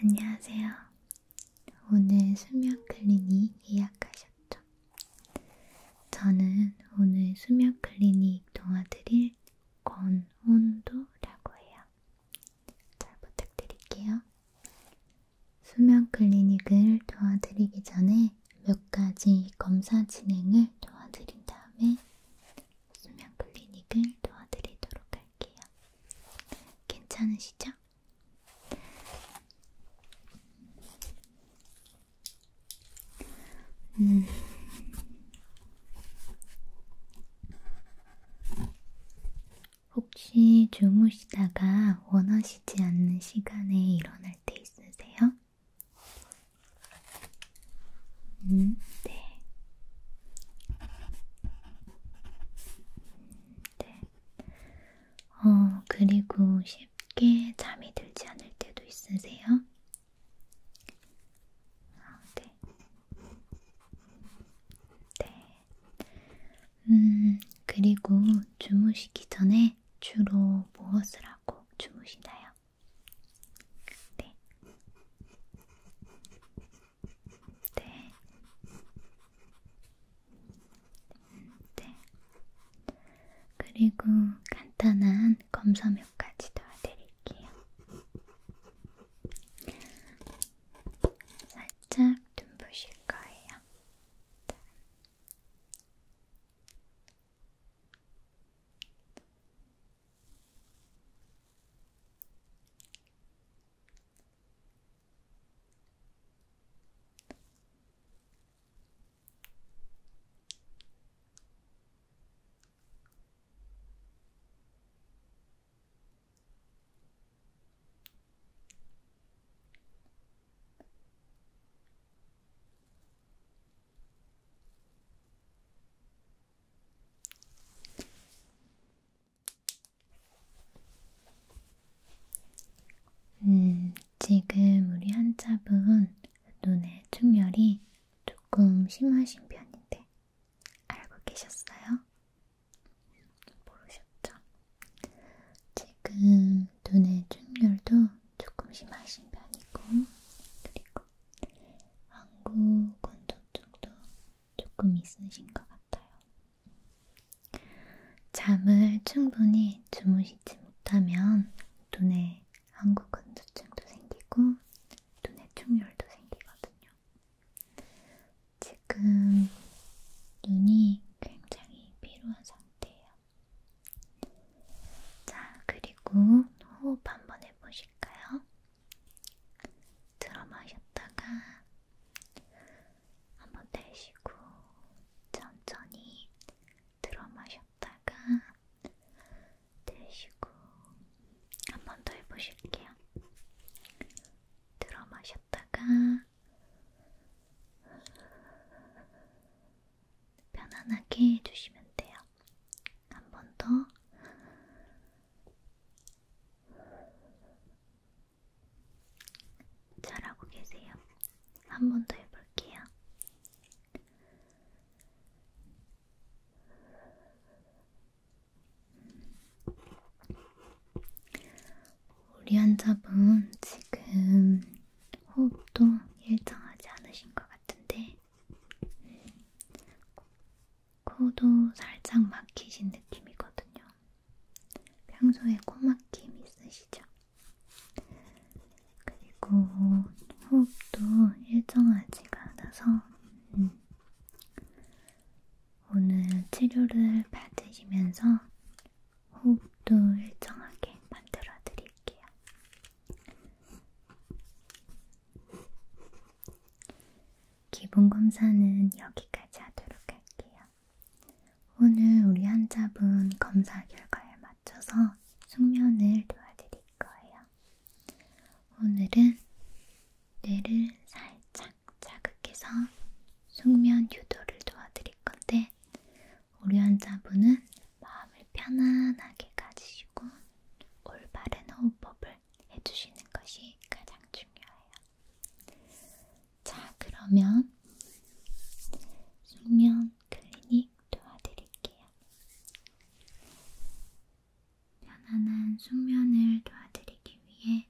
안녕하세요. 오늘 수면 클리닉 예약하셨죠? 저는 오늘 수면 클리닉 도와드릴 권온도라고 해요. 잘 부탁드릴게요. 수면 클리닉을 도와드리기 전에 몇 가지 검사 진행을 도와드린 다음에 수면 클리닉을 도와드리도록 할게요. 괜찮으시죠? 음, 혹시 주무시다가 원하시지 않는 시간에 일어날 때 있으세요? 음, 네. 음, 네. 어, 그리고 쉽게 잠이 들지 않을 때도 있으세요? 아, 네. 네. 음, 그리고 주무시기 전에 주로 무엇을 하고 주무시나요? 네. 네. 네. 그리고 간단한 검사 몇 가지 도와드릴게요. 살짝 눈부실 거예요. 음, 지금 우리 환자분 눈의 충혈이 조금 심하신 편인데 알고 계셨어요? 모르셨죠? 지금 눈의 충혈도 조금 심하신 편이고 그리고 안구 건조증도 조금 있으신 것 같아요. 잠을 충분히 주무시지 못하면 눈에 안구 건조증도 생기고 눈에 충혈도 생기거든요. 지금 눈이 굉장히 피로한 상태예요. 자, 그리고 호흡 한번 해보실까요? 들어 마셨다가 한번 내쉬고 천천히 들어 마셨다가 드시고 한 번 더 해보실게요. 들어 마셨다가 편안하게 해주시면 돼요. 한 번 더. 잘하고 계세요. 한 번 더 해볼게요. 우리 환자분 지금 호흡도 일정하지 않으신 것 같은데 코도 살짝 막히신 느낌이거든요. 평소에 코막힘 있으시죠? 그리고 호흡도 일정하지가 않아서 음, 오늘 치료를 받으시면서 호흡도 일정하게 만들어 드릴게요. 기본 검사는 여기까지 하도록 할게요. 오늘 우리 환자분 검사 결과에 맞춰서 숙면을 도와드릴 거예요. 오늘은 뇌를 살짝 자극해서 숙면 유도를 도와드릴 건데 우리 환자분은 마음을 편안하게 가지시고 올바른 호흡법을 해주시는 것이 가장 중요해요. 자, 그러면 숙면 클리닉 도와드릴게요. 편안한 숙면을 도와드리기 위해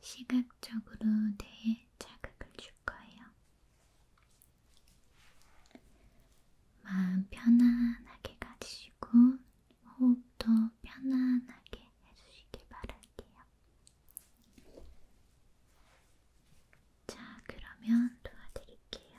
시각적으로 뇌에 자극을 줄 거예요. 마음 편안하게 가지시고 호흡도 편안하게 해주시길 바랄게요. 자, 그러면 도와드릴게요.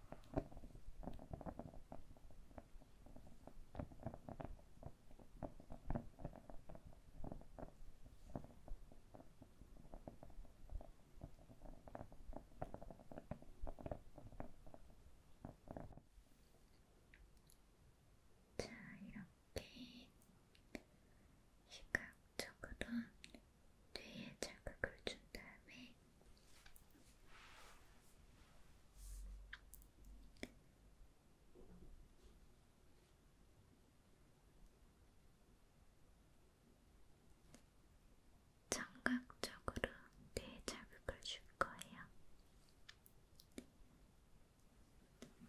자, 이렇게 시각적으로 뇌에 자극을 준 다음에 청각적으로 뇌에 자극을 줄 거예요.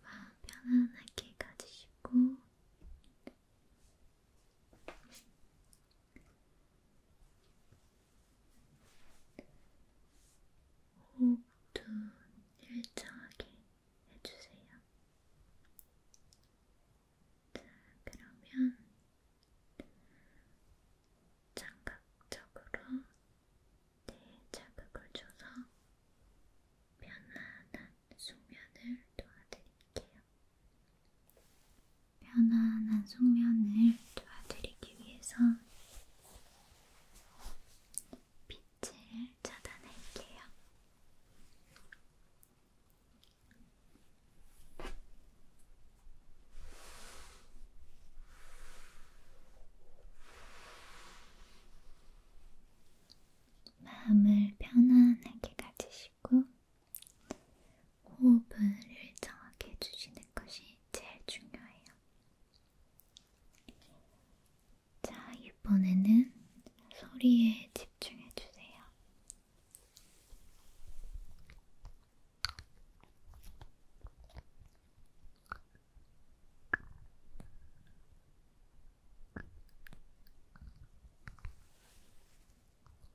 마음 편안하게 가지시고 호흡도 어, 일정하게 해주세요. 자, 그러면 장각적으로 뇌에 네 자극을 줘서 편안한 숙면을 도와드릴게요. 편안한 숙면을 도와드리기 위해서 빛을 차단할게요. 마음을 편안하게 가지시고 호흡을 일정하게 해주시는 것이 제일 중요해요. 자, 이번에는 소리에 집중해주세요.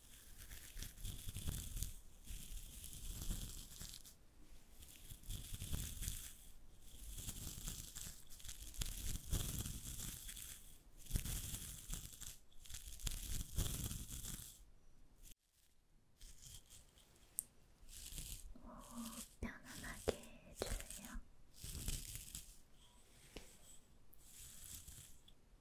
어, 편안하게 해주세요.